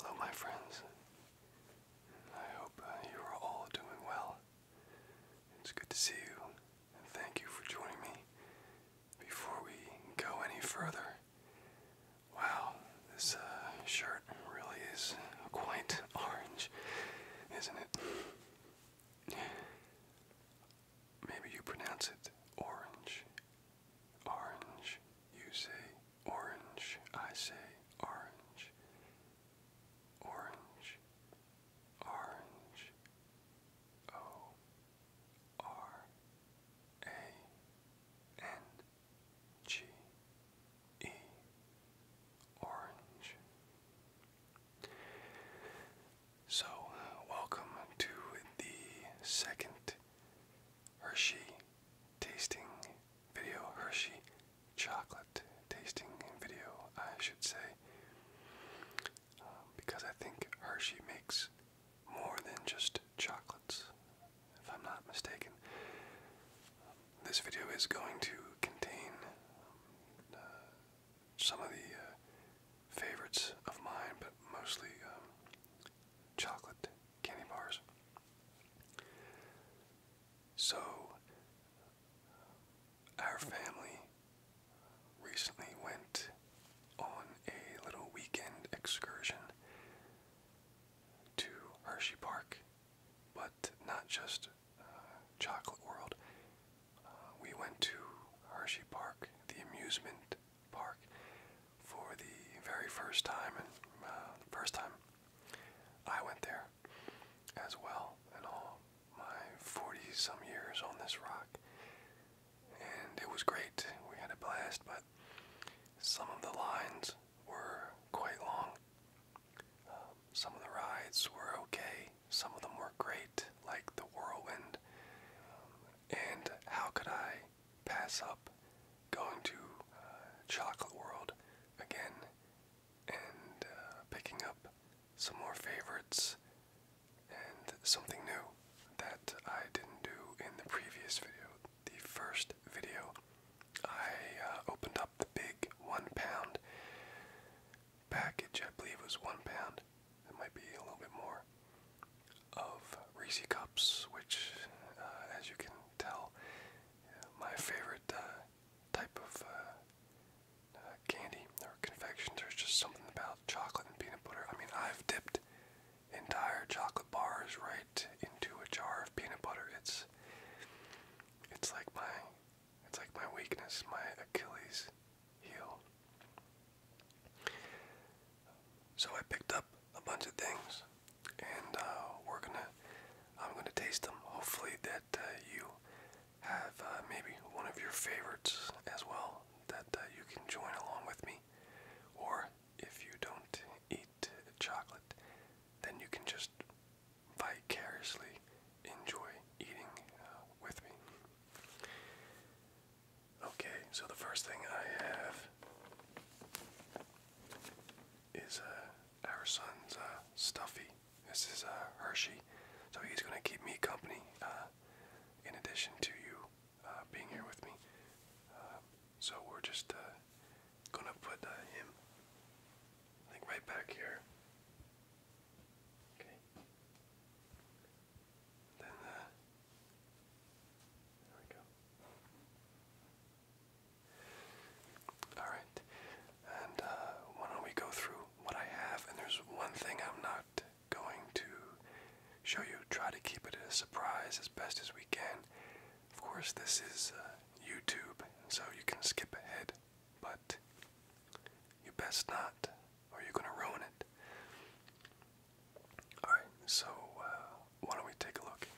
Hello, my friends. I hope uh, you are all doing well. It's good to see you, and thank you for joining me. Before we go any further, Wow, this uh, shirt really is quite orange, isn't it? Maybe you pronounce it orange. Orange. You say orange. I say orange. Orange. Orange. O R A N G E Orange. So, welcome to the second Hershey tasting video, Hershey chocolate tasting video, I should say. Um, because I think Hershey makes more than just chocolates if I'm not mistaken. This video is going to contain uh, some of the uh, favorites of mine, but mostly um, chocolate candy bars. So, our family recently went on a little weekend excursion to Hershey Park but not just uh, Chocolate World. Uh, we went to Hershey Park, the amusement park, for the very first time, and the uh, first time I went there as well, and all my 40 some years on this rock. And it was great. We had a blast, but some of the lines were quite long. Um, some of the rides were okay, some of them were great, like the Whirlwind. Um, and how could I pass up going to uh, Chocolate World again and uh, picking up some more favorites and something new that I didn't do in the previous video, the first video I uh, opened up the big one pound package, I believe was one pound, it might be a little bit more, of Reese Cups, which, uh, as you can tell, my favorite uh, type of candy or confection. There's just something about chocolate and peanut butter. I mean, I've dipped entire chocolate bars right into a jar of peanut butter. It's it's like my it's like my weakness, my Achilles heel. So I picked up a bunch of things, and uh, we're gonna I'm gonna taste them. Hopefully that uh, you have uh, maybe one of your favorites as well that you can join along with me, or if you don't eat chocolate, then you can just vicariously enjoy eating uh, with me. Okay, so the first thing I have is uh, our son's uh, Stuffy. This is uh, Hershey, so he's going to keep me company uh, in addition to you uh, being here with me. so we're just gonna put uh, him, I right back here. Okay. Then, uh, there we go. Alright. And uh, why don't we go through what I have? And there's one thing I'm not going to show you. Try to keep it a surprise as best as we can. Of course, this is uh, YouTube, so you can skip ahead, but you best not, or you're going to ruin it. Alright, so uh, why don't we take a look?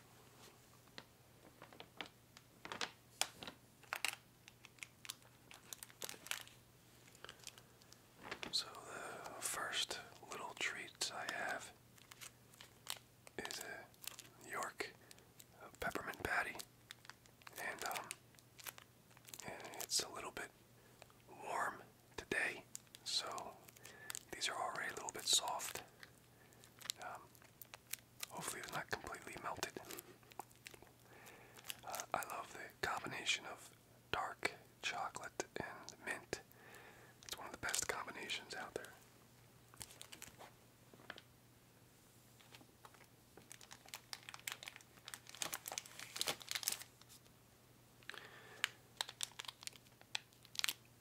So, the first little treat I have is a York uh, peppermint patty, and um, it's a little bit warm today, so these are already a little bit soft. Um, hopefully, it's not completely melted. Uh, I love the combination of dark chocolate and mint. It's one of the best combinations out there.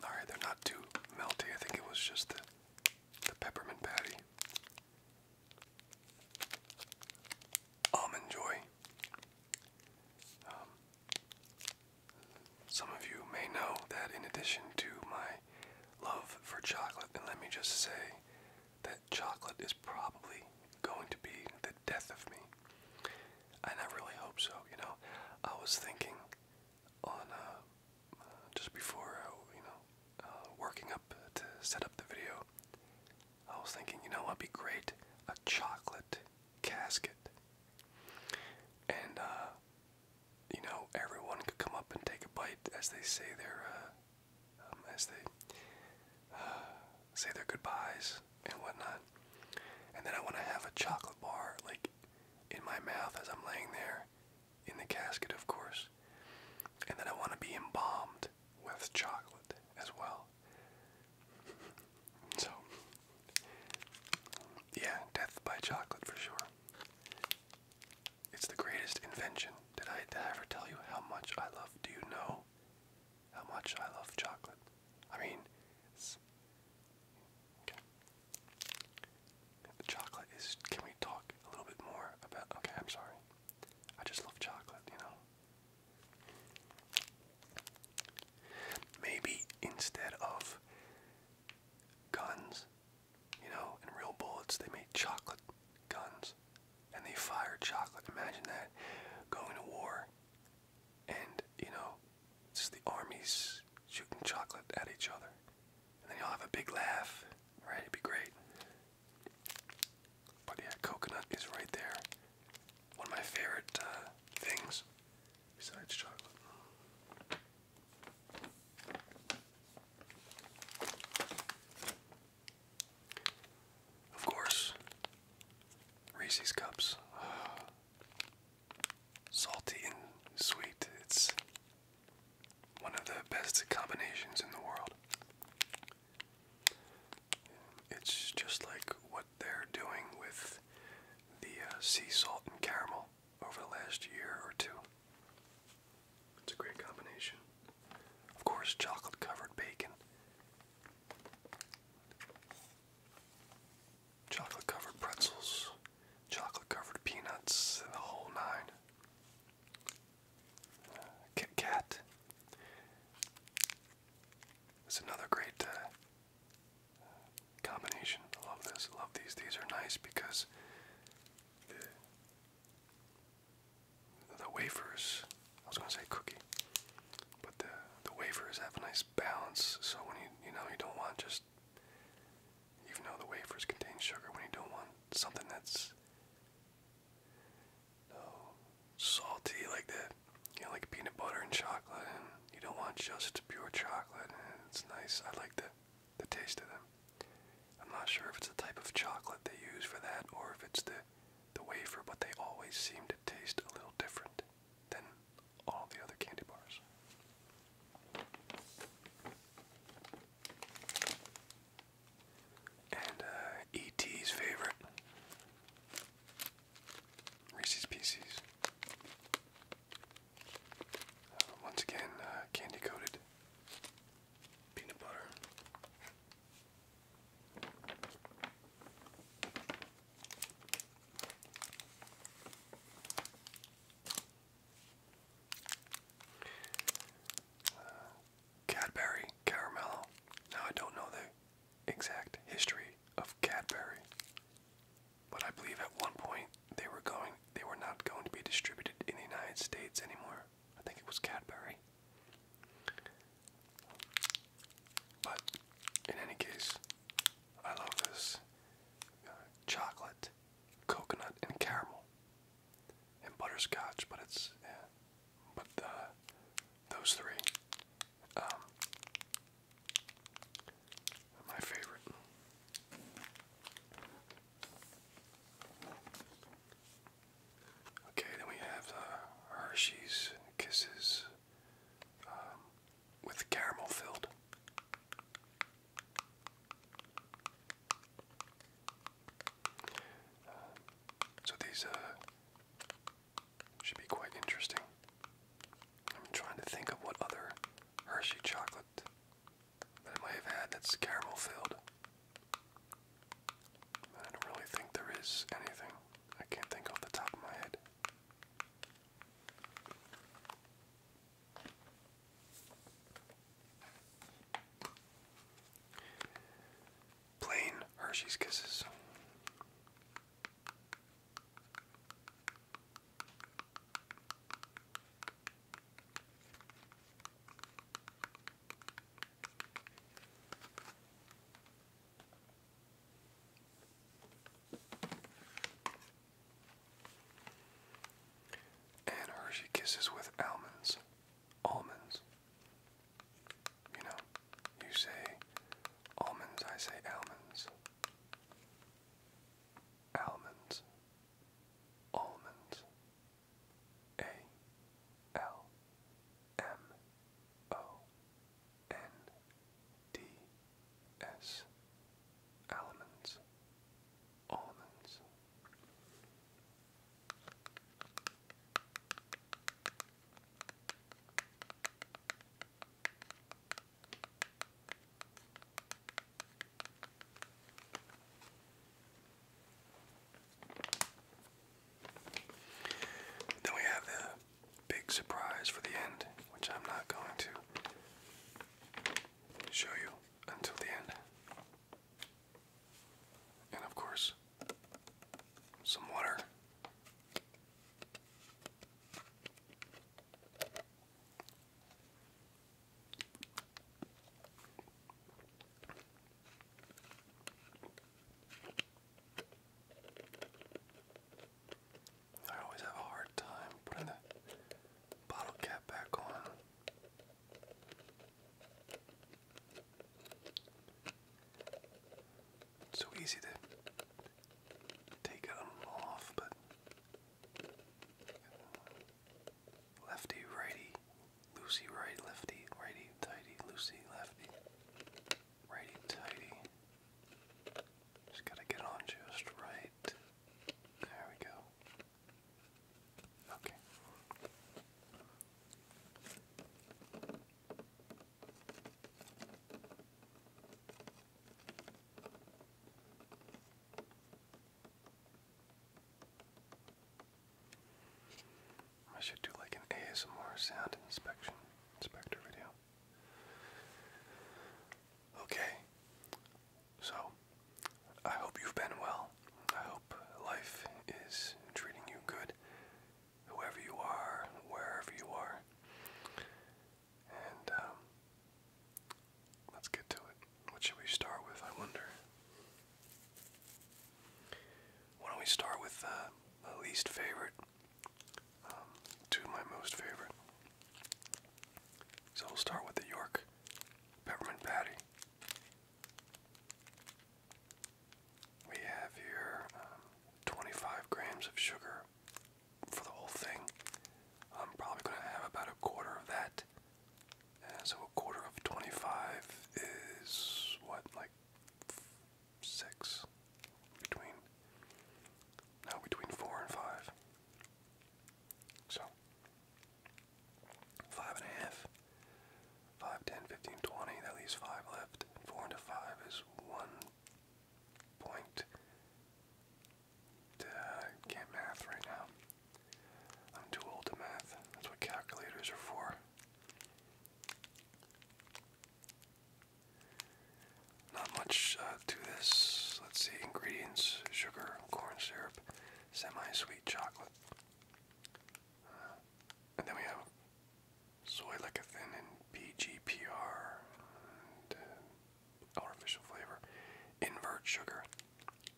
Alright, they're not too melty. I think it was just the, the peppermint patty. Almond Joy. Um, some of you may know that in addition to my love for chocolate, and let me just say that chocolate is probably going to be the death of me. And I really hope so, you know. I was thinking on uh, just before, uh, you know, uh, working up to set up the video, I was thinking, you know, it'd be great a chocolate casket. And uh, you know, everyone could come up and take a bite as they say their, uh, um, as they uh, say their goodbyes and whatnot. And then I want to have a chocolate bar, like, in my mouth as I'm laying there, in the casket, of course. And then I want to be embalmed with chocolate as well. So, yeah, death by chocolate for sure. It's the greatest invention. Did I, did I ever tell you how much I love? Do you know how much I love chocolate? I mean, The chocolate is. Can we talk a little bit more about? Okay, I'm sorry. I just love chocolate, you know. Maybe instead of guns, you know, in real bullets, they made chocolate guns and they fired chocolate. Imagine that going to war and, you know, just the armies shooting chocolate at each other. And then you'll have a big laugh, right? It'd be great. But yeah, coconut is right there. One of my favorite uh, things besides chocolate. Of course, Reese's Cups. Uh, salty and sweet. It's one of the best combinations in the world. It's just like what they're doing with the uh, sea salt and caramel over the last year or two. It's a great combination. Of course, chocolate covered bacon. Chocolate covered pretzels, chocolate covered peanuts, the whole nine. Uh, Kit Kat is another great uh, combination. I love this. I love these. These are nice because the wafers. I was gonna say cookie, but the the wafers have a nice balance. So when you you know you don't want just even though the wafers contain sugar, when you don't want something that's salty like that, you know, like peanut butter and chocolate, you don't want just pure chocolate. it's nice. I like that the taste of them. I'm not sure if it's the type of chocolate they use for that or if it's the the wafer, but they always seem to taste a little different than all the other candy bars. And uh, E.T.'s favorite Reese's Pieces. Uh, once again, uh, candy coated peanut butter. Cadbury Caramel. Now I don't know the exact history of Cadbury, but I believe at one point they were going they were not going to be distributed in the United States anymore. I think it was Cadbury. But in any case, I love this uh, chocolate, coconut, and caramel, and butterscotch. But it's but those three, um, are my favorite. Okay, then we have the uh, Hershey's Kisses um, with caramel filled. Uh, so these uh, should be quite interesting. I'm trying to think of what other Hershey chocolate that I may have had that's caramel filled. I don't really think there is anything. I can't think off the top of my head. Plain Hershey's Kisses. And Hershey Kisses with almonds. Almonds. You know, you say almonds, I say almonds. Almonds. Almonds. A L M O N D S Almonds Almonds then we have the big surprise for the end, which I'm not going to show you until the end. And of course, some water. I always have a hard time putting the bottle cap back on. so easy to take it off, but Lefty, righty, loosey, righty, lefty, righty, tighty, loosey, lefty, righty, tighty. Just gotta get on just right. There we go. Okay. I should do like an ASMR sound inspection inspector video. Okay, so I hope you've been well. I hope life is treating you good, whoever you are, wherever you are. And um, let's get to it. What should we start with? I wonder. Why don't we start with the uh, least favorite um, to my most favorite? So we'll start with the York peppermint patty. We have here um, 25 grams of sugar for the whole thing. I'm probably going to have about a quarter of that. Uh, quarter of 25 is what, like six? Between, now between four and five. So, five and a half, five, ten, fifteen, twenty, that leaves five left. Four into five is one point. Uh, can't math right now. I'm too old to math. That's what calculators are for. Not much uh, to this. Let's see ingredients sugar, corn syrup, semi sweet chocolate. Uh, and then we have soy lecithin and PGPR uh, artificial flavor, invert sugar,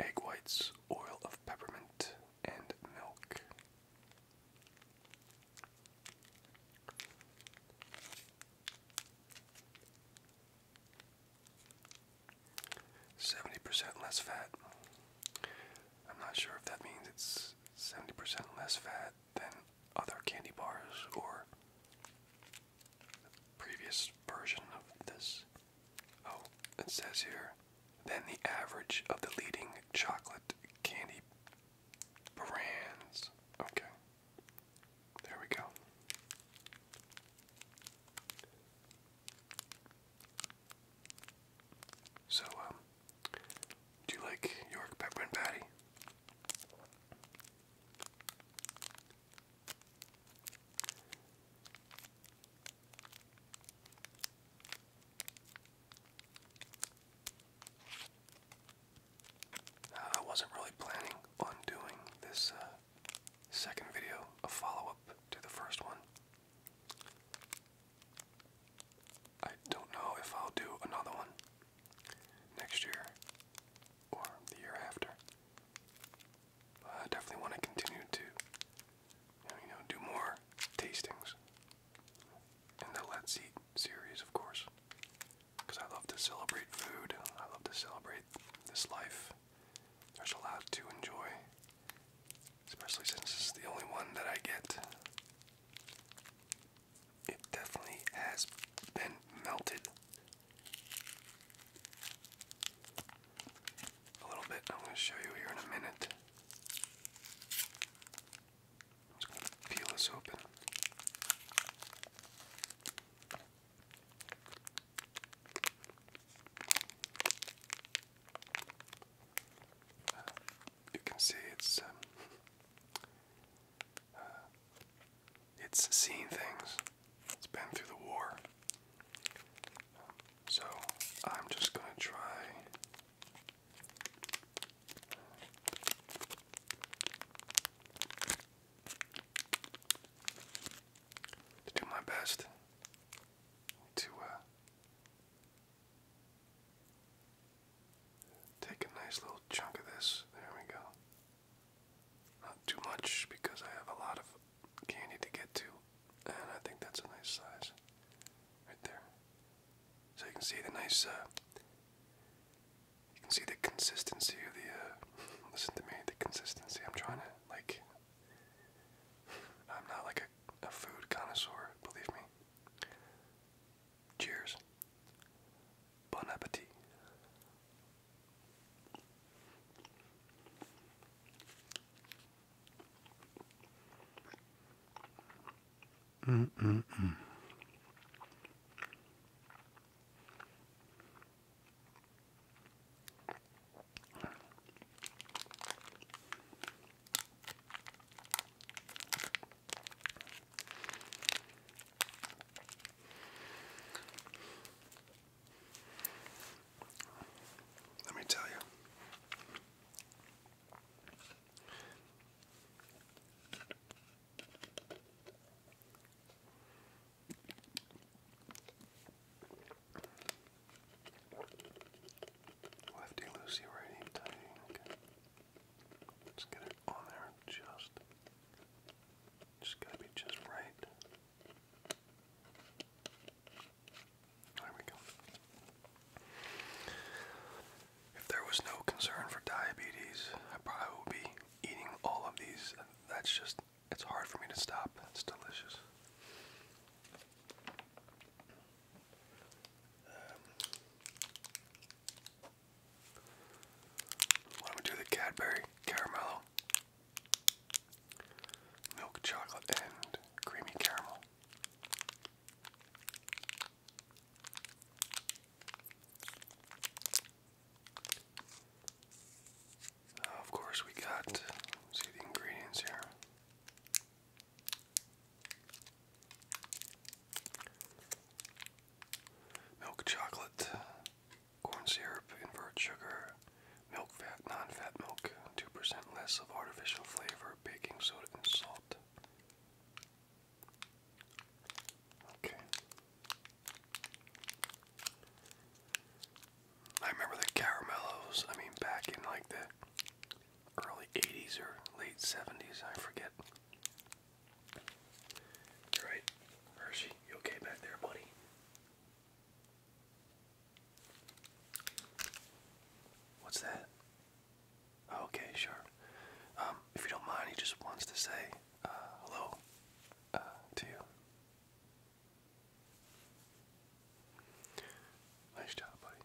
egg whites, oil of peppermint, and milk. Seventy percent less fat. I'm not sure if that means it's seventy percent less fat than other candy bars or previous version of this. Oh, it says here than the average of the leading chocolate candy brands. Okay. There we go. So, um, do you like York pepper patty? Uh, I wasn't really planning on doing this uh, second video, a follow up to the first one. I don't know if I'll do another one next year or the year after. I definitely want to continue to you know, do more tastings in the Let's Eat series, of course, because I love to celebrate food. I love to celebrate this life. There's a lot to enjoy, especially since this is the only one that I get. It definitely has been melted a little bit. I'm going to show you here in a minute. I'm peel this open. Uh, you can see it's um, uh, it's seen things. It's been through the war. Um, so I'm just gonna try to do my best to uh, take a nice little chunk of this. There we go. Not too much because I have a lot of candy to get to, and I think that's a nice size right there. So you can see the nice, uh, you can see the consistency of the, uh, listen to me, the consistency. I'm trying to, like, I'm not like a, a food connoisseur, believe me. Cheers. Bon appetit. Mm -mm -mm. Let me tell you, Lefty loosey, righty tighty. Okay. get it on there just. Just gotta be just right. If there was no concern for diabetes, I probably would be eating all of these. That's just, it's hard for me to stop. It's delicious. Um, why do the Cadbury Caramello? Milk chocolate and creamy caramel. Uh, of course, we got see the ingredients here. Milk chocolate, corn syrup, invert sugar, milk fat, non-fat milk, 2% less of artificial flavor, baking soda and salt. Okay. I remember the caramellos, I mean back in like the early 80s or late 70s, I forget. All right, Hershey, you okay back there, buddy? What's that? Okay, sure. Um, if you don't mind, he just wants to say uh, hello uh, to you. Nice job, buddy.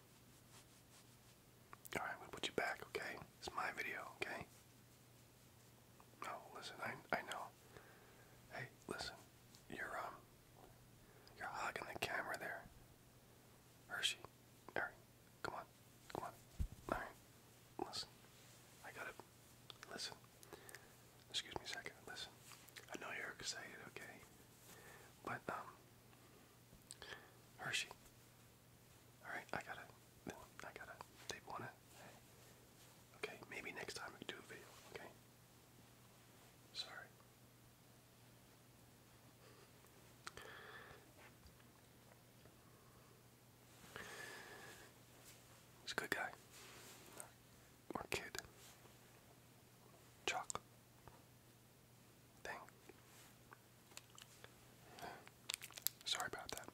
Alright, i put you back, okay? It's my video, okay? No, listen, I I know. Hey, listen, you're um you're hogging the camera there. Hershey. Eric, Come on, come on. All right, listen. I gotta listen. Excuse me a second. Listen. I know you're excited, okay? But um, Hershey. All right, I gotta. I gotta. They want it. Okay, maybe next time we do a video. Okay. Sorry. He's a good guy. Or kid. Chocolate. Thing. Sorry about that.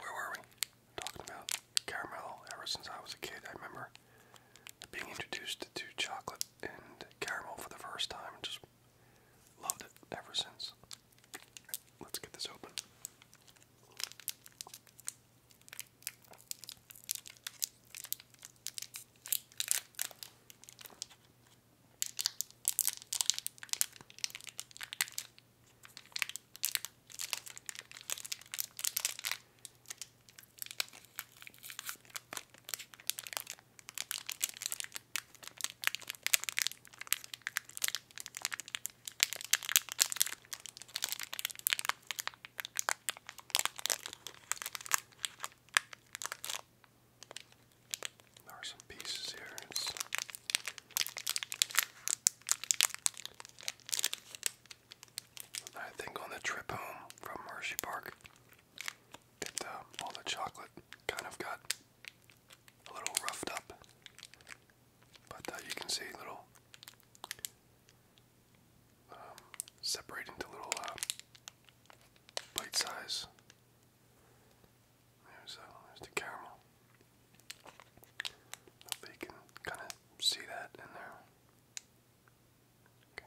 Where were we? Talking about caramel. Ever since I was a kid, I remember being introduced to chocolate and caramel for the first time. Just Loved it ever since. Let's get this open. There are some pieces here. I think on the trip home from Hershey Park, um, all the chocolate kind of got a little roughed up. But uh, you can see little um, separate into little uh, bite size. Uh, there's, the caramel. Hopefully you can kind of see that in there. Okay.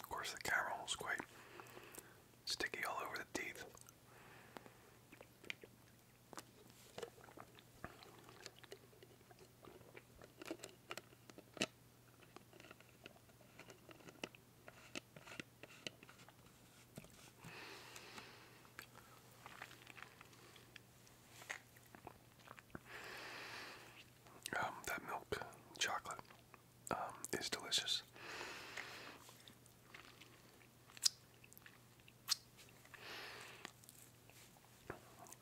Of course, the caramel is quite sticky all over the teeth. Um, that milk chocolate um, is delicious.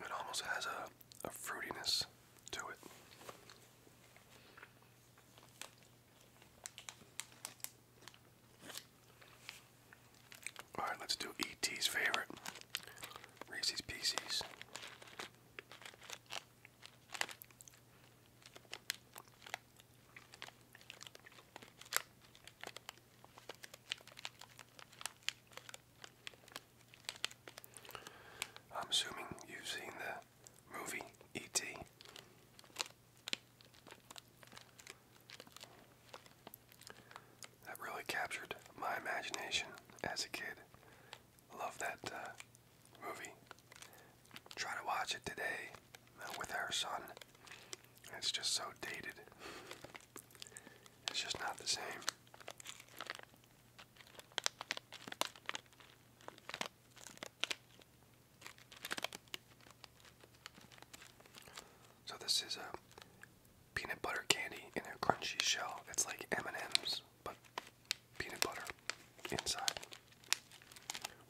It almost has a, a fruitiness to it. All right, let's do ET's favorite Reese's Pieces. I'm assuming you've seen the movie E.T. That really captured my imagination as a kid. Love that uh, movie. Try to watch it today uh, with our son. It's just so dated. It's just not the same. So this is a uh, peanut butter candy in a crunchy shell. It's like M&M's, but peanut butter inside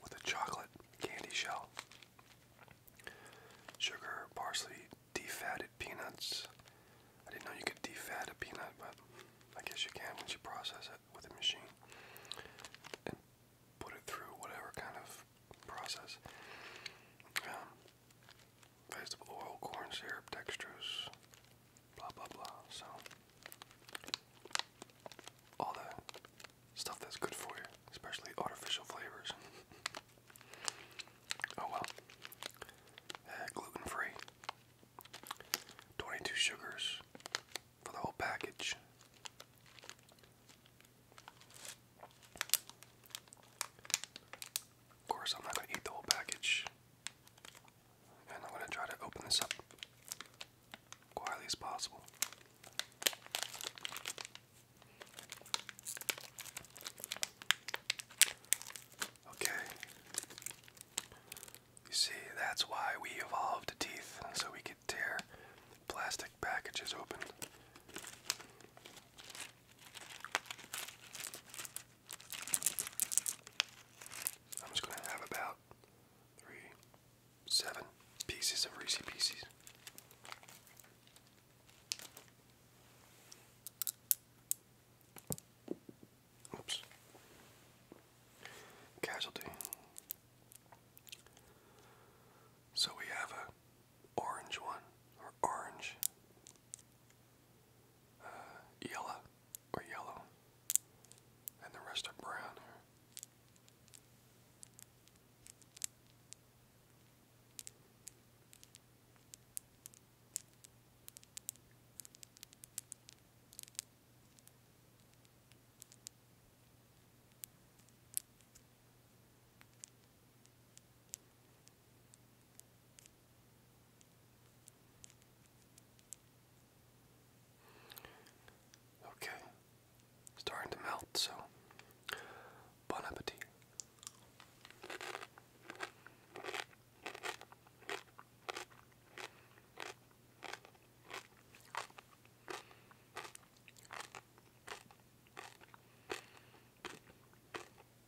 with a chocolate candy shell. Sugar, parsley, defatted peanuts. I didn't know you could defat a peanut, but I guess you can when you process it with a machine and put it through whatever kind of process. Um, vegetable oil, corn syrup, dextrose, blah blah blah. So all the stuff that's good for you, especially artificial flavors. oh well. Uh, gluten free. 22 sugars for the whole package. Of course, I'm not going to eat the whole package. And I'm going to try to open this up quietly as possible. Okay. You see, that's why we evolved teeth, so we could tear plastic packages open. I'm just going to have about three, seven pieces of Reese Pieces. Oops. Casualty. So we have a orange one, or orange, uh, yellow, or yellow, and the rest are brown. Okay, starting to melt, so bon appetit.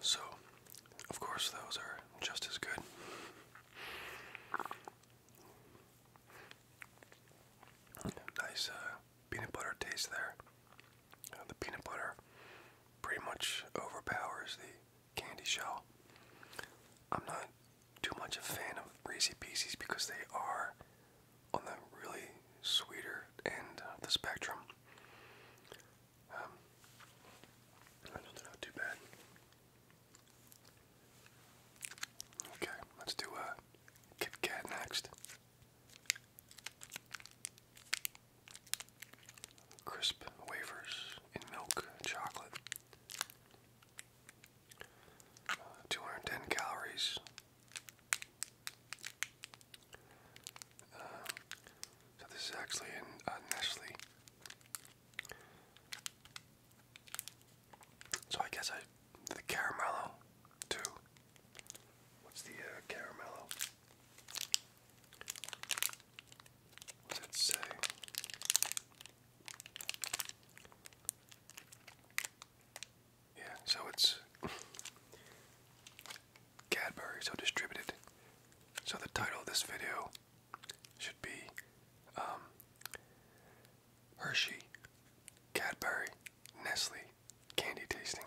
So, of course, those are just as good. Nice uh, peanut butter taste there. Uh, the peanut butter pretty much overpowers the candy shell. I'm not too much a fan of crazy Pieces because they are on the really sweeter end of the spectrum. Um, they're not too bad. Okay, let's do a uh, Kit Kat next. Crisp wafers in milk chocolate. Uh, 210 calories. Uh, so this is actually in uh, So I guess I the caramello too. What's the uh, caramello? What's it say? Yeah, so it's Cadbury, so distributed. So the title of this video should be um, Hershey, Cadbury, Nestle, Candy Tasting.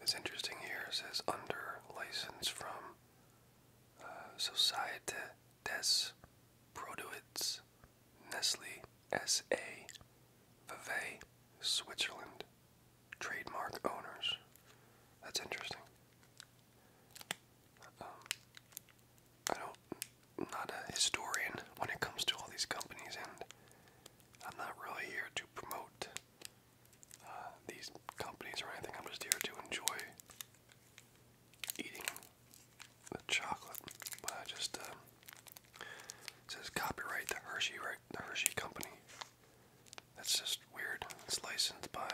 It's interesting here, it says under license from uh, Societe des Produits Nestle S.A. Vevey, Switzerland. Trademark owners. That's interesting. Um, I don't. am not a historian when it comes to all these companies, and I'm not really here to promote uh, these companies or anything. I'm just here to enjoy eating the chocolate. But I just um, says copyright the Hershey, right? The Hershey Company. That's just weird. It's licensed by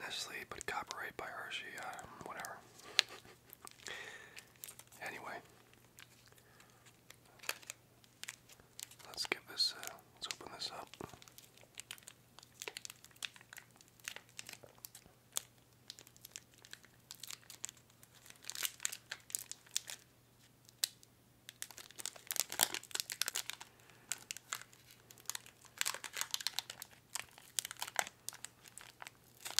Nestle, but copyright by Hershey, uh, whatever. anyway, let's give this. Uh, open this up. I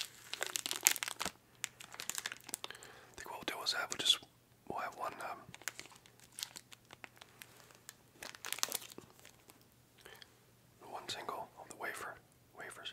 think what we'll do is have we'll just we'll have one um, one single of the wafer wafers.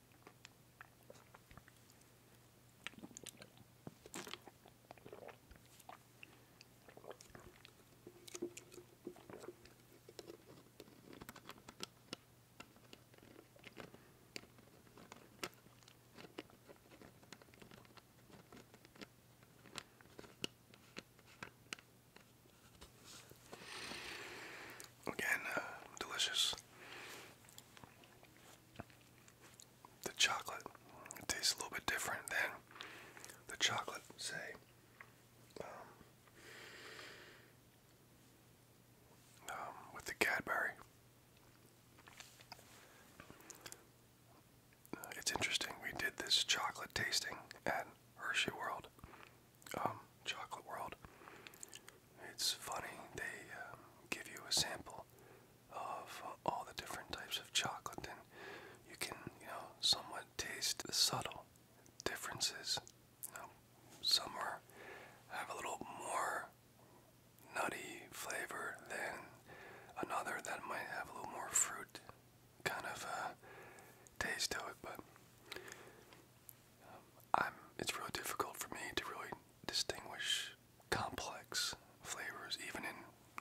Again, uh, delicious the chocolate tastes a little bit different than the chocolate, say, um, um, with the Cadbury. It's interesting. We did this chocolate tasting at Hershey World, um, Chocolate World. It's funny. They give you a sample of all the different types of chocolate, and you can, you know, somewhat taste the subtle differences. You know, some are have a little more nutty flavor than another that might have a little more fruit kind of uh, taste to it, but um, I'm. It's really difficult for me to really distinguish complex flavors even in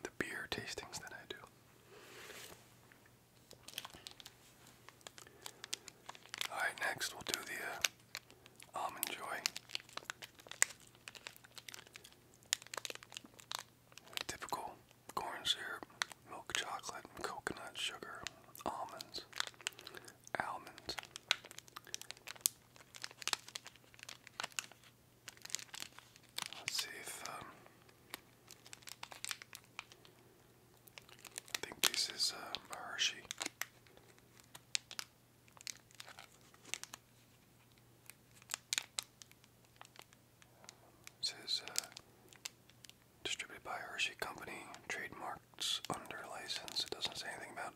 the beer tastings that I do. Alright, next we'll do the uh, Almond Joy. Typical corn syrup, milk chocolate, coconut sugar, almonds, almonds, Let's see if um, I think this is um, a Hershey. This uh, distributed by Hershey Company, trademarks under license. It doesn't say anything about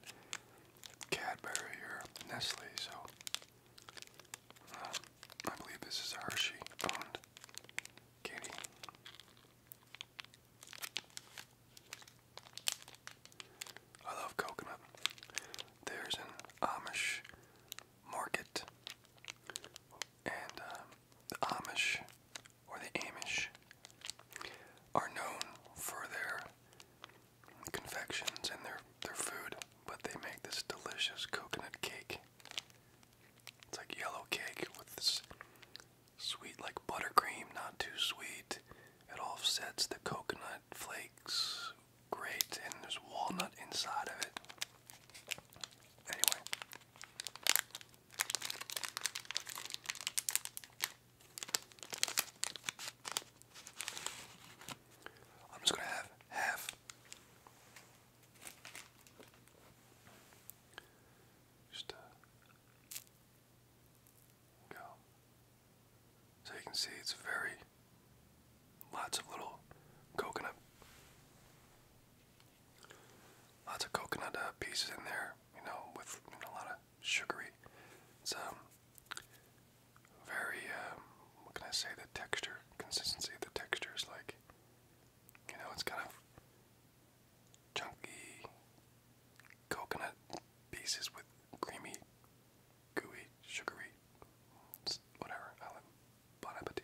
Cadbury or Nestle, so uh, I believe this is a Hershey owned candy. I love coconut. There's an Amish market, and uh, the Amish or the Amish are known for their confections and their their food, but they make this delicious coconut cake. It's like yellow cake with this sweet like buttercream, not too sweet. It offsets the coconut flakes great and there's walnut inside of it. Anyway. I'm just going to have half. Just uh, go. So you can see it's very lots of little coconut. Lots of coconut uh, pieces in there, you know, with a lot of sugary. It's um, very, what can I say, the texture, consistency of the texture is like, you know, it's kind of chunky coconut pieces with creamy, gooey, sugary, whatever. I Bon Appetit.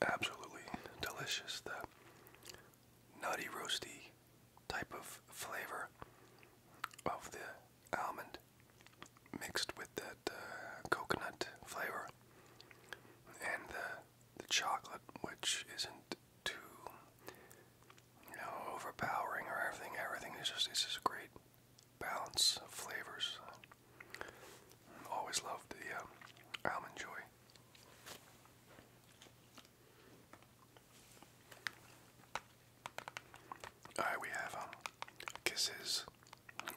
Absolutely delicious. The nutty, roasty type of flavor of the almond mixed with that uh, coconut flavor and the the chocolate, which isn't too you know overpowering or everything. Everything is just it's just a great balance of flavors. Always loved the um, almond joy. All right, we have um, kisses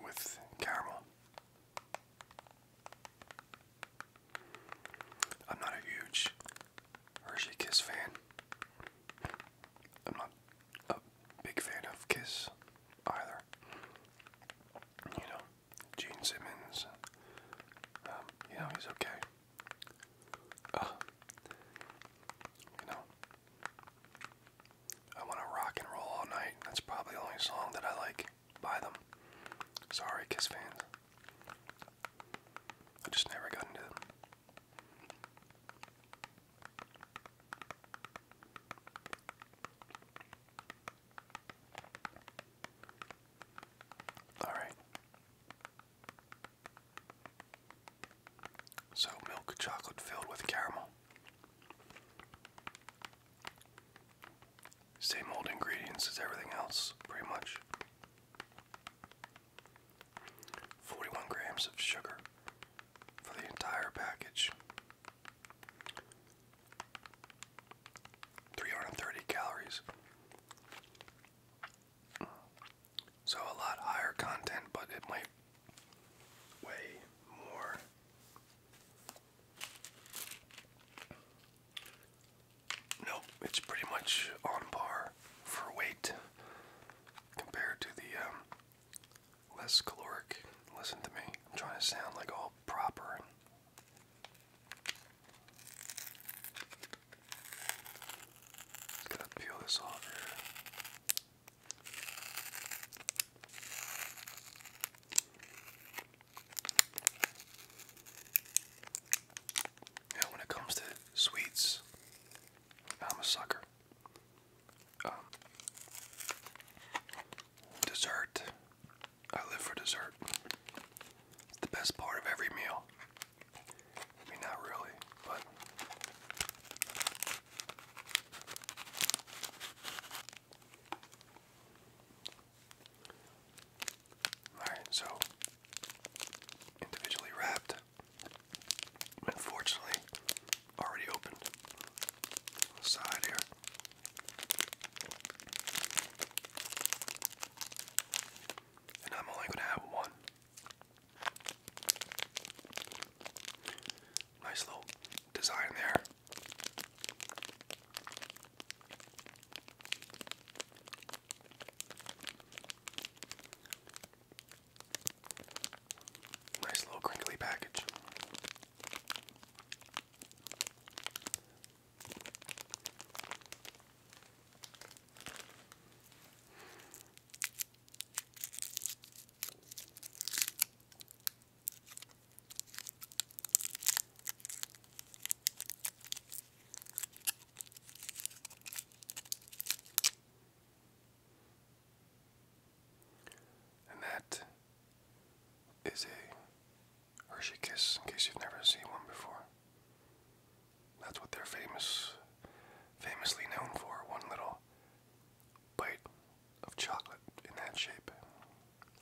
with caramel. I'm not a huge Hershey Kiss fan. I'm not a big fan of Kiss either. You know, Gene Simmons. Um, you know, he's okay. you know, I want to rock and roll all night. That's probably the only song that I like buy them. Sorry, Kiss fans. I just never got into them. Alright. So, milk chocolate filled with caramel. Same old ingredients as everything else, pretty much. 41 grams of sugar for the entire package. 330 calories. So a lot higher content, but it might weigh more Nope, it's pretty much on par for weight compared to the um, less caloric. Listen to me, I'm trying to sound like all proper. Gotta peel this off here. Yeah, when it comes to sweets, I'm a sucker. Um, dessert. I live for dessert. It's the best part of every meal. I not really, but Alright, so individually wrapped. Unfortunately, already opened. side here. And I'm only gonna have one. Nice little design there. Nice little crinkly package. And that is a Hershey Kiss, in case you've never seen one before. That's what they're famous, famously known for. One little bite of chocolate in that shape.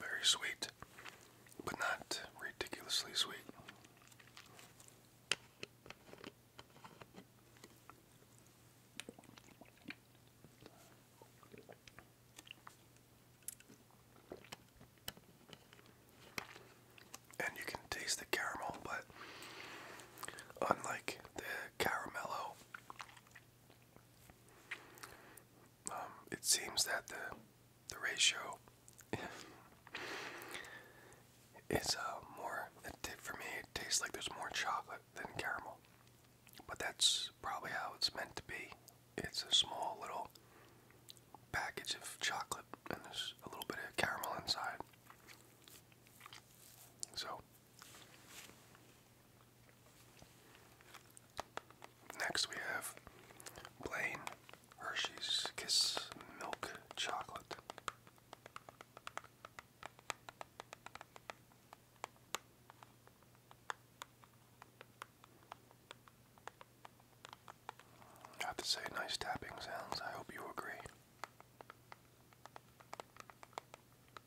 Very sweet, but not ridiculously sweet. And you can taste the caramel, but unlike the Caramello. Um, it seems that the the ratio is uh, more. It, for me, it tastes like there's more chocolate than caramel, but that's probably how it's meant to be. It's a small little package of chocolate, and there's a little bit of caramel inside. So Next, we have Blaine Hershey's Kiss Milk Chocolate. have to say, nice tapping sounds. I hope you agree.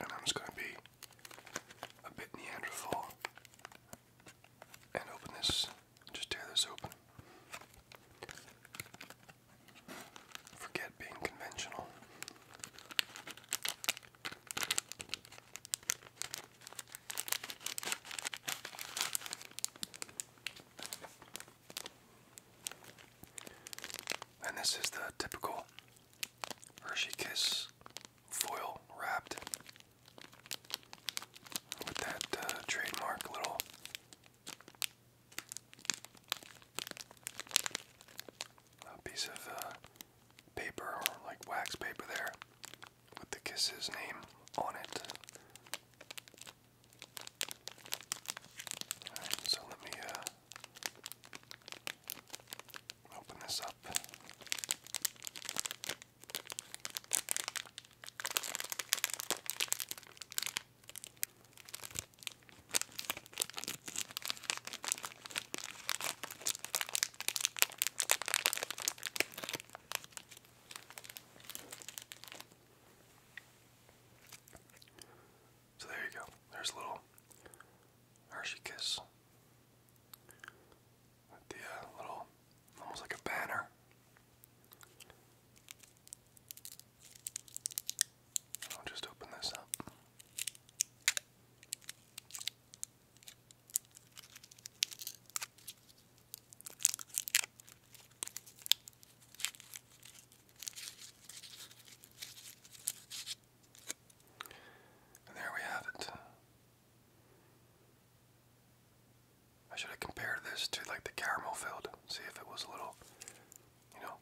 And I'm just going to be a bit Neanderthal and open this, just tear this open. Forget being conventional. And this is the typical Hershey Kiss foil wrapped with that uh, trademark little uh, piece of uh, paper like wax paper there with the kiss, his name on it. so let me uh, open this up. So there you go. There's a little Hershey Kiss with the uh, little, almost like a banner. I'll just open this up. And there we have it. I should have compared this to like the caramel filled, see if it was a little, you know,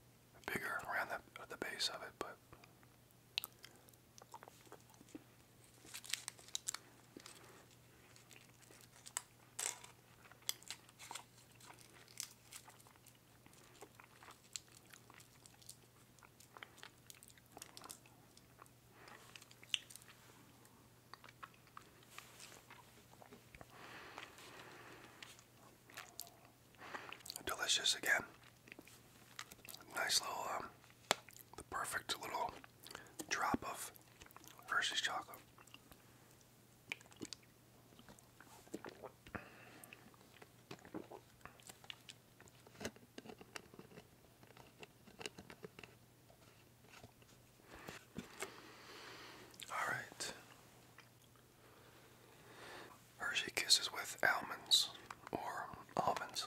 bigger around the, the base of it, but Delicious again. Nice little um, the perfect little drop of Hershey's chocolate. All right. Hershey Kisses with almonds or almonds.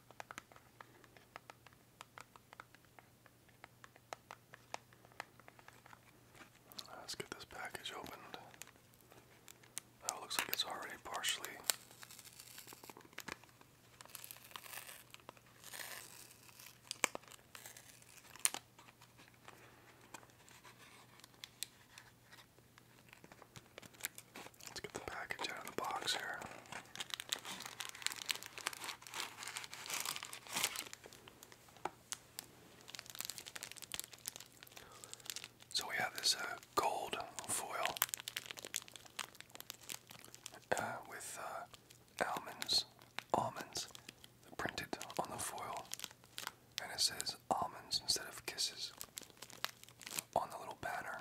Let's get this package opened. Now looks like it's already partially Let's get the package out of the box here. So we have this uh, gold foil uh, with uh, almonds, almonds printed on the foil, and it says almonds instead of kisses on the little banner.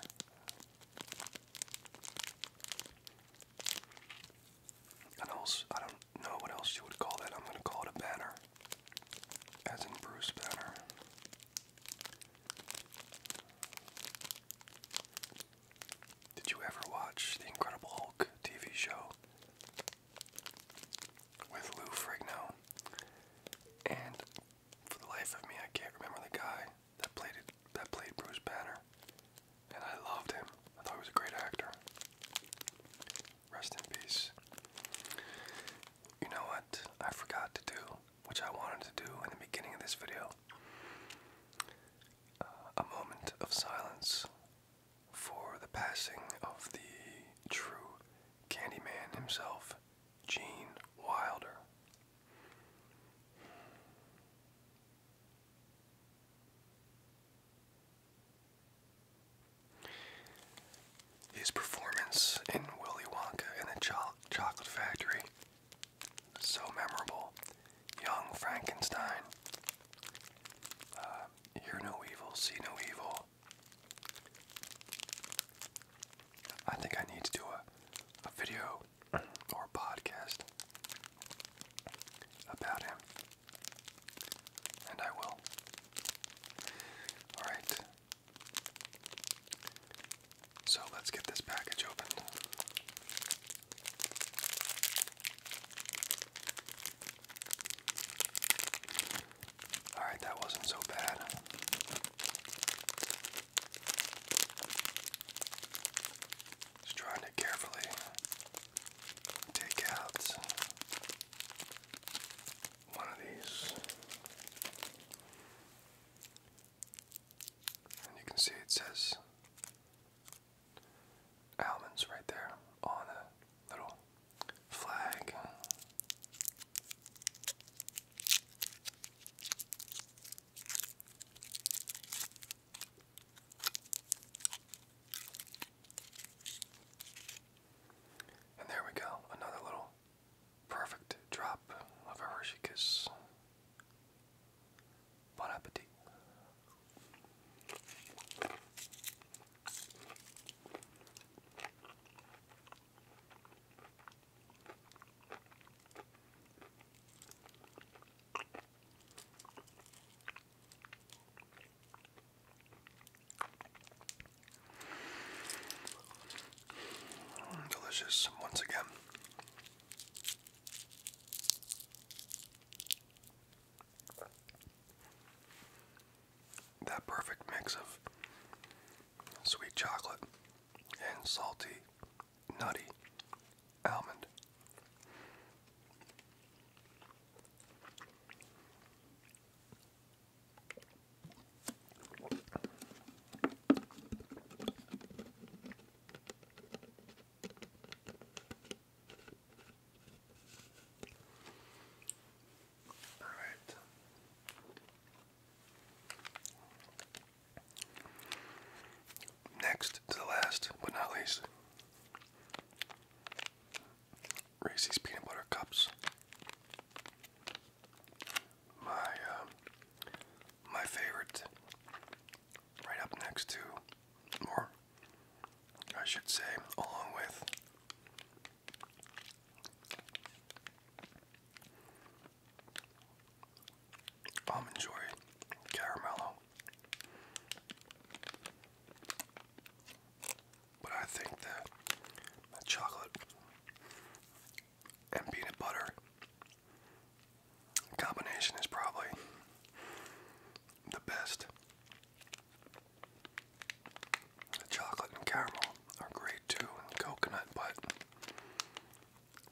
I don't know what else you would call that. I'm going to call it a banner, as in Bruce Banner. Did you ever watch the Incredible Hulk TV show with Lou Frigno? And for the life of me, I can't remember the guy that played it, that played Bruce Banner, and I loved him. I thought he was a great actor. Rest in peace. You know what I forgot to do, which I wanted to do in the beginning of this video. Uh, a moment of silence for the passing of the true Candyman himself, Gene Wilder. His performance in Willy Wonka and the Chocolate Factory, so memorable. Young Frankenstein, uh, Hear No Evil, See No Evil. I think I need to do a, a video or a podcast about him. And I will. Alright. So let's get this package opened. Alright, that wasn't so bad. Just trying to carefully take out one of these. And you can see it says almonds right there on a little flag. And there we go, another little perfect drop of a Hershey Kiss. Bon appetit delicious once again. That perfect mix of sweet chocolate and salty nutty almond. All right. Next to the last, but not least, Reese's peanut butter cups. My um, my favorite, right up next to, or I should say, along with almond joy, caramello. But I think that the chocolate and peanut butter combination is probably the best. The chocolate and caramel are great too, and coconut, but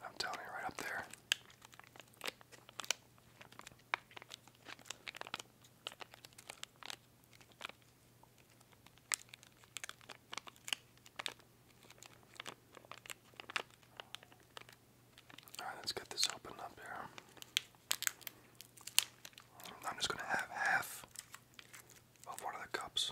I'm telling you, right up there. All right, let's get this open up here. I'm just going to have half of one of the cups.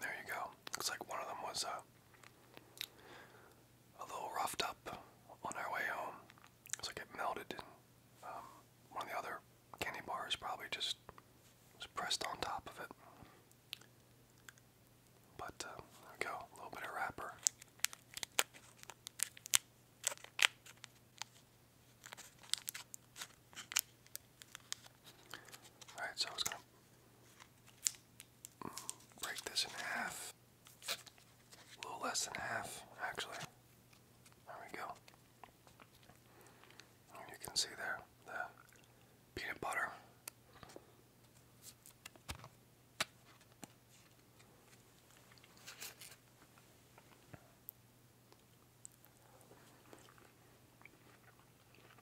There you go. Looks like one of them was uh, a little roughed up on our way home. Looks like it melted, and um, one of the other candy bars probably just was pressed on top of it. But uh, there we go, a little bit of wrapper. Alright, so I was gonna break this in half. A little less than half, actually. There we go. You can see there the peanut butter.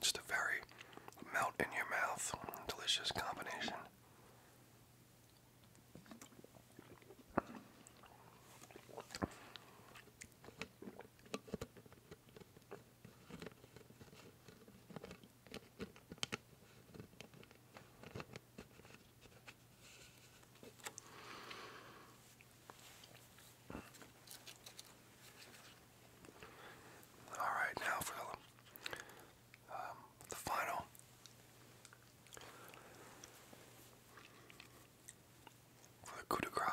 Just a very melt in your mouth, delicious combination. All right, now for um, the, final. For the coup de grace.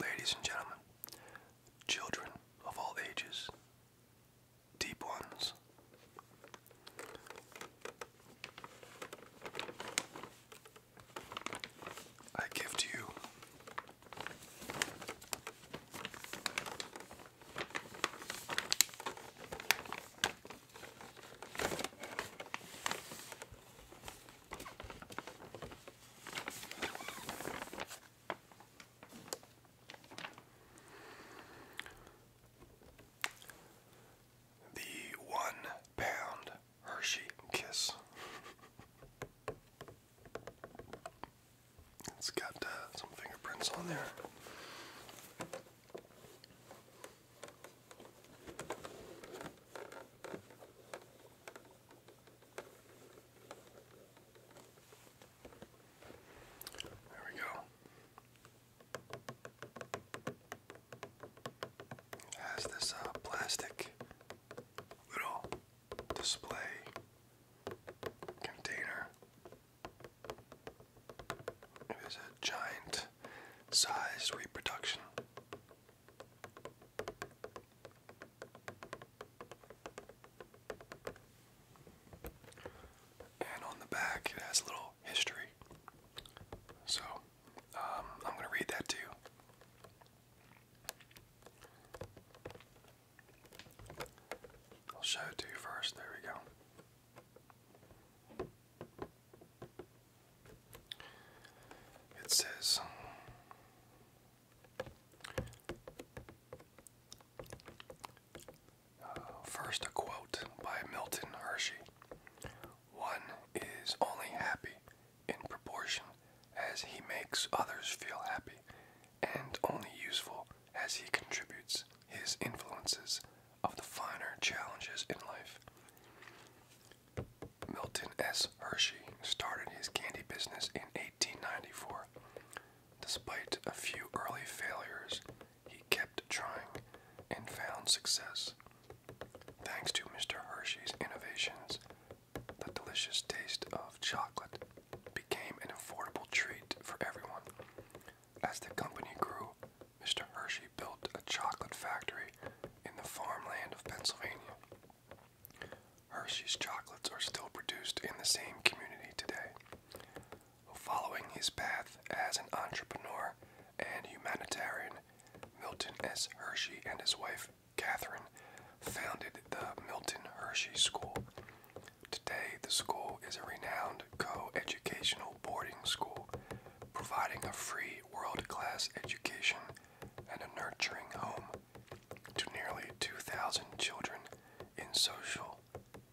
Ladies and gentlemen, children of all ages, deep ones I give to you the one pound Hershey Kiss. it's got uh, some fingerprints on there. There we go. Has this uh, plastic little display container. It is a giant sized reproduction. And on the back, it has a little history so, um, I'm going to read that to you. I'll show it to you first. There we go. It says first, a quote by Milton Hershey One is only happy in proportion as he makes others feel happy, and only useful as he contributes his influences of the finer challenges in life. Milton S. Hershey started his candy business in 1894. Despite a few early failures, he kept trying and found success. Thanks to Mr. Hershey's innovations, the delicious taste of chocolate became an affordable treat for everyone. As the company grew, Mr. Hershey built a chocolate factory in the farmland of Pennsylvania. Hershey's chocolates are still produced in the same community today. Following his path as an entrepreneur and humanitarian Milton S. Hershey and his wife, Catherine, founded the Milton Hershey School. Today, the school is a renowned co educational boarding school, providing a free, world class education and a nurturing home to nearly 2,000 children in social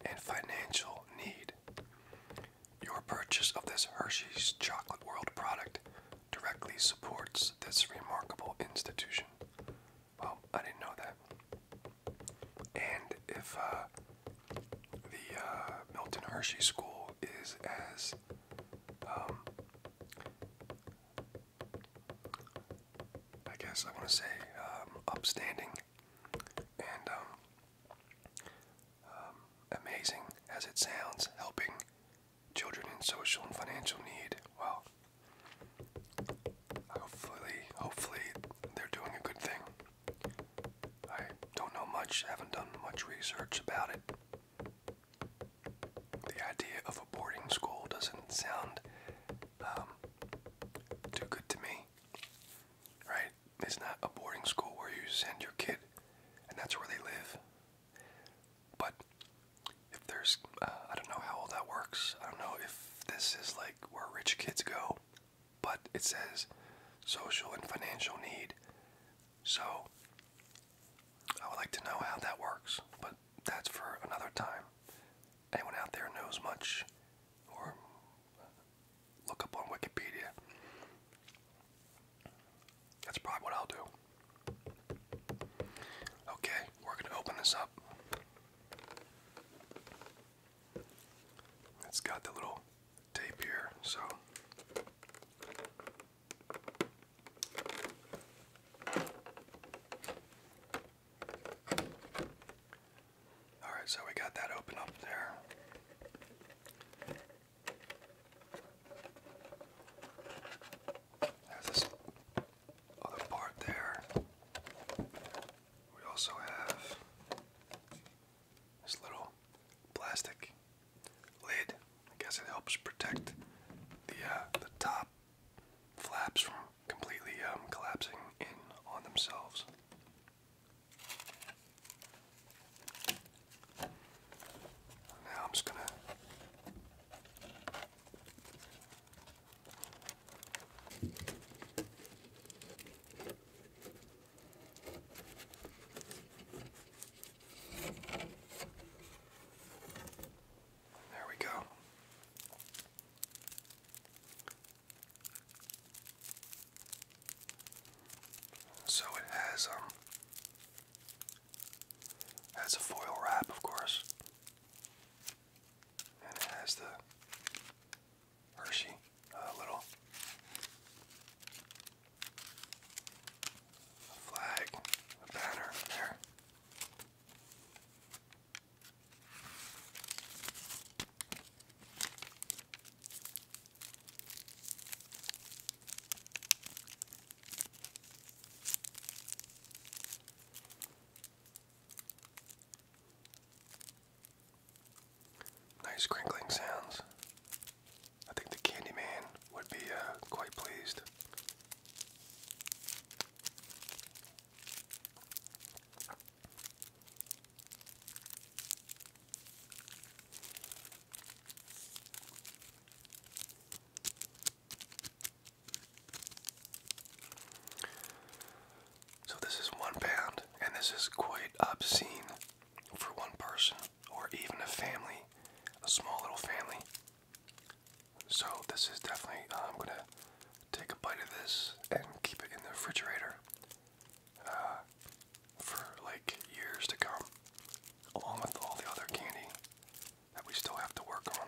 and financial need. Your purchase of this Hershey's Chocolate World product directly supports this remarkable institution. Well, I didn't know that. And if uh, the uh, Milton Hershey School is as um, I guess I want to say um, upstanding and um, um, amazing as it sounds, helping children in social and financial need. Well, hopefully, hopefully they're doing a good thing. I don't know much, haven't done much research about it. The idea of a boarding school doesn't sound um, too good to me, right? right? It's not a boarding school where you send your kid and that's where they live. But if there's, uh, I don't know how all that works. I don't know if this is like where rich kids go, but it says social and financial need. So I would like to know how that works, but that's for another time. Anyone out there knows much or look up on Wikipedia. That's probably what I'll do. Okay, we're going to open this up. It's got the little tape here, so. Alright, so we got that open up there. There's this other part there. We also have this little plastic lid. I guess it helps protect the uh, the top flaps from completely um, collapsing in on themselves. Now I'm just going to there we go. So it has um has a foil wrap, of course, and it has the Hershey uh, little flag, banner there. Nice crinkling sounds. I think the Candyman would be uh, quite pleased. So this is one pound, and this is quite obscene for one person or even a family, a small little family. So this is definitely, uh, I'm gonna take a bite of this and keep it in the refrigerator. Uh, for like years to come, along with all the other candy that we still have to work on.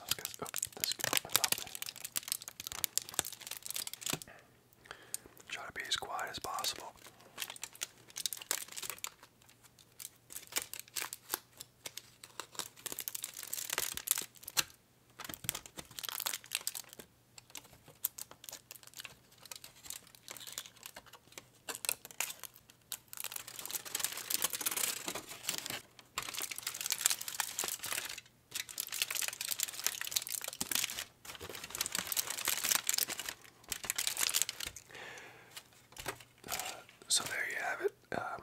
Let's get, this opens up. Try to be as quiet as possible so there you have it. Um,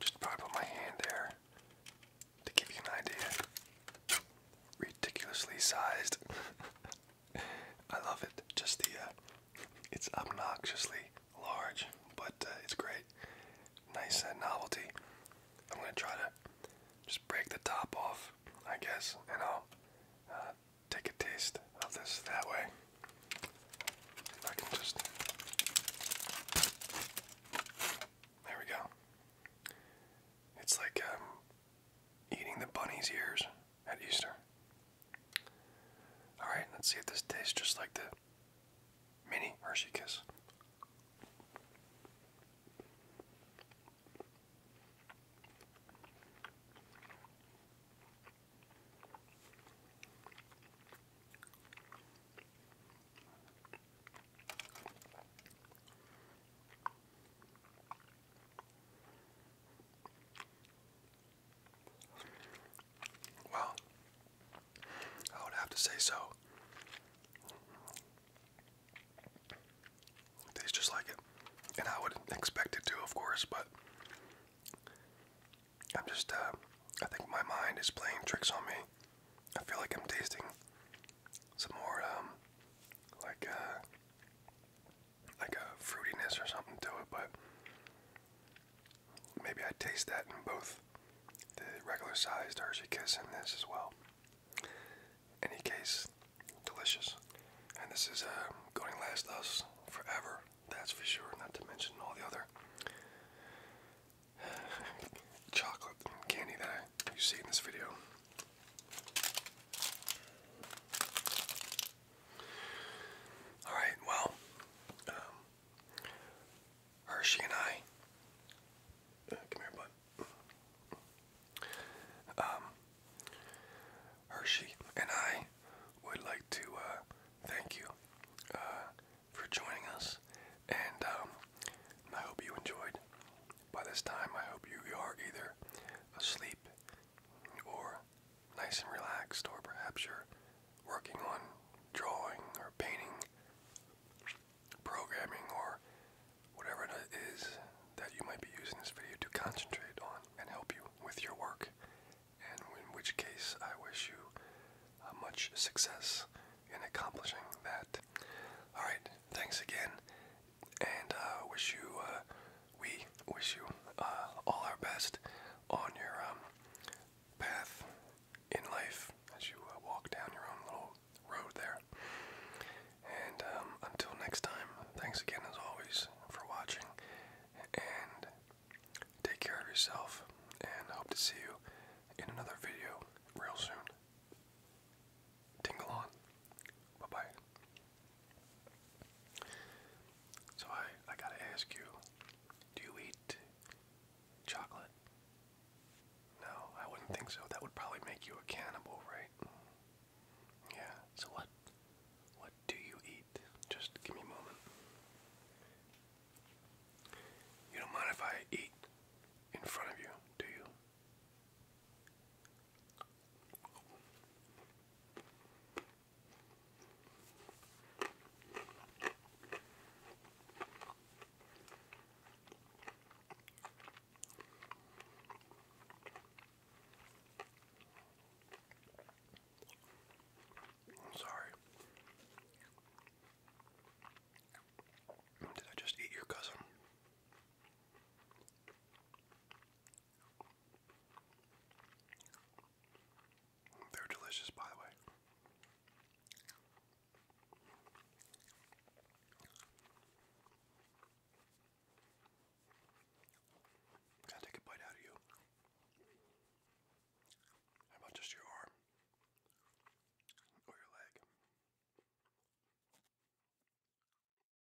just probably put my hand there to give you an idea ridiculously sized. I love it. Just the, uh, it's obnoxiously large, but uh, it's great. Nice uh, novelty. I'm gonna try to just break the top off, I guess, and I'll uh, take a taste of this that way. I can just. There we go. It's like um, eating the bunny's ears at Easter. Alright, let's see if this tastes just like the mini Hershey Kiss. Well, I would have to say so. tastes just like it. And I would expect it to, of course, but I'm just, uh, I think my mind is playing tricks on me. I feel like I'm tasting some more, um, like, uh, like a fruitiness or something to it, but maybe I taste that in both the regular sized Hershey Kiss and this as well. Any case, delicious. And this is uh, going to last us forever, that's for sure, not to mention all the other chocolate candy that I you see in this video. All right, well, um, Hershey and I, uh, come here, bud. Um, Hershey and I would like to uh, thank you uh, for joining us, and um, I hope you enjoyed. By this time, I hope you are either asleep or nice and relaxed, or perhaps you're working on drawing or painting, programming, or whatever it is that you might be using this video to concentrate on and help you with your work. in which case, I wish you uh, much success in accomplishing that. Alright, thanks again, and uh, wish you, uh, we wish you uh, all our best on your um, path in life as you walk down your own little road there. And um, until next time, thanks again as always for watching, and take care of yourself, and hope to see you in another video real soon. Tingle on. Bye bye. So I I gotta ask you, do you eat chocolate? No, I wouldn't think so. That would probably make you a cannibal, right? Yeah. So what what do you eat? Just give me a moment. You don't mind if I eat in front of you, do you? I'm sorry. Did I just eat your cousin? They're delicious, by the way. Gotta take a bite out of you. How about just your arm? Or your leg?